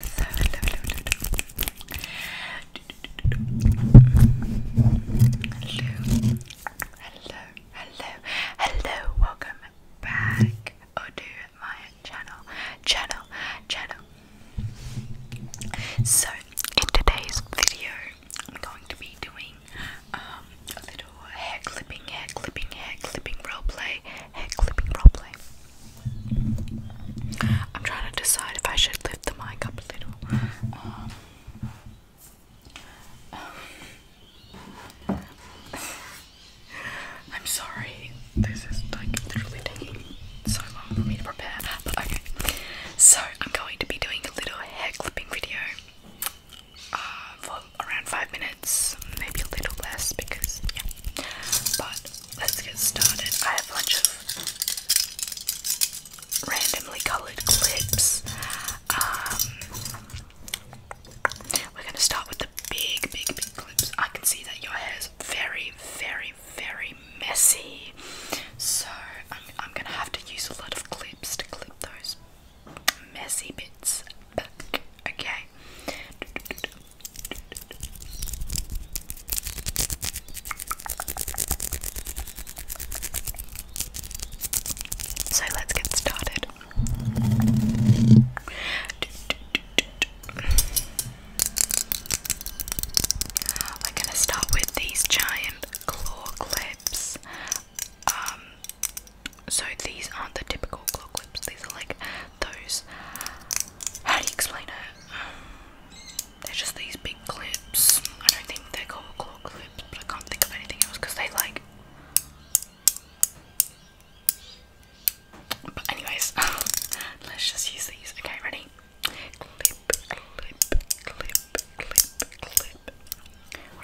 So, hello, hello, hello. Hello, hello, hello, welcome back oh, to my channel, channel, channel. So, in today's video, I'm going to be doing um, a little hair clipping, hair clipping, hair clipping role play, hair clipping roleplay. I'm trying to decide if I should lift the mic up a little. Um, I'm sorry, this is like literally taking so long for me to prepare. okay, so I'm going to be doing a little hair clipping video uh, for around five minutes minutes, maybe a little less because, yeah. But let's get started. I have a bunch of randomly colored clips. Um, we're gonna start with the big, big, big clips. I can see that your hair is very, very, very messy, so I'm, I'm gonna have to use a lot of clips to clip those messy bits back. Okay. So let's get started. We're going to start with these giant claw clips. Um, so these aren't the typical claw clips. These are like those. How do you explain it? Um, they're just these big clips. I don't think they're called claw clips, but I can't think of anything else because they like. But anyways, let's just use these. Okay, ready?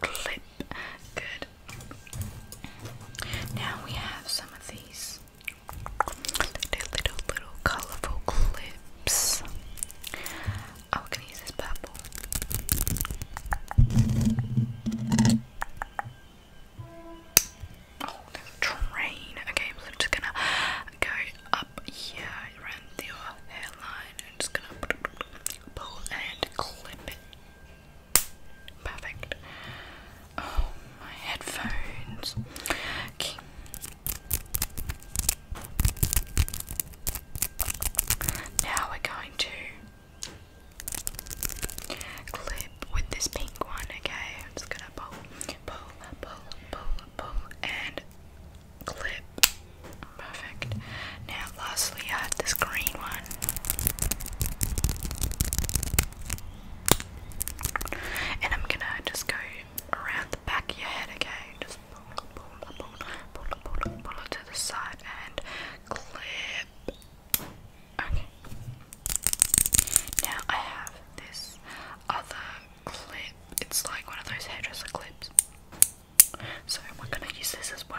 clip. Good. Now we have some of these little, little, colorful clips. Oh, we use this purple. Oh, there's train. Okay, so I'm just gonna go up here around your hairline. I'm just gonna pull and clip it. Perfect. Oh, my headphones. Okay. Now we're going to clip with this pink one, again. I'm just gonna pull, pull, pull, pull, pull, and clip. Perfect. Now, lastly, I have uh, this green one. And I'm gonna just go around the back of your head, okay? Just pull, pull, pull, pull, pull it to the side and clip. Okay. Now I have this other clip. It's like one of those hairdresser clips. So we're going to use this as well.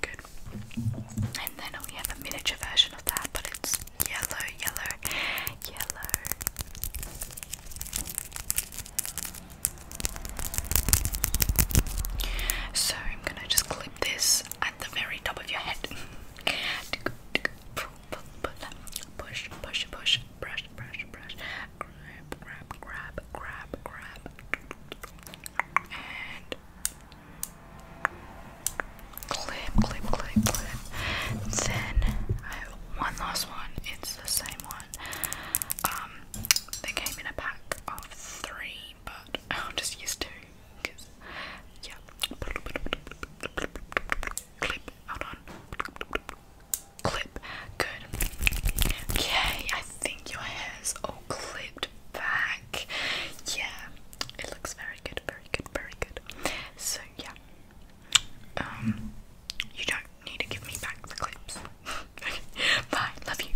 good. And then we have a miniature version of that, but it's yellow, yellow, yellow. So I'm going to just clip this at the very top of your head. Push, push, push, brush, brush, brush, grab, grab, grab, grab, grab, and clip, clip, clip, clip. Then I have one last one. It's the same one. Um, they came in a pack of three but I'm just used to because yeah. Clip, hold on. Clip, good. Okay, I think your hair's all clipped back. Yeah, it looks very good, very good, very good. So yeah, um, you don't need to give me back the clips. Bye, love you.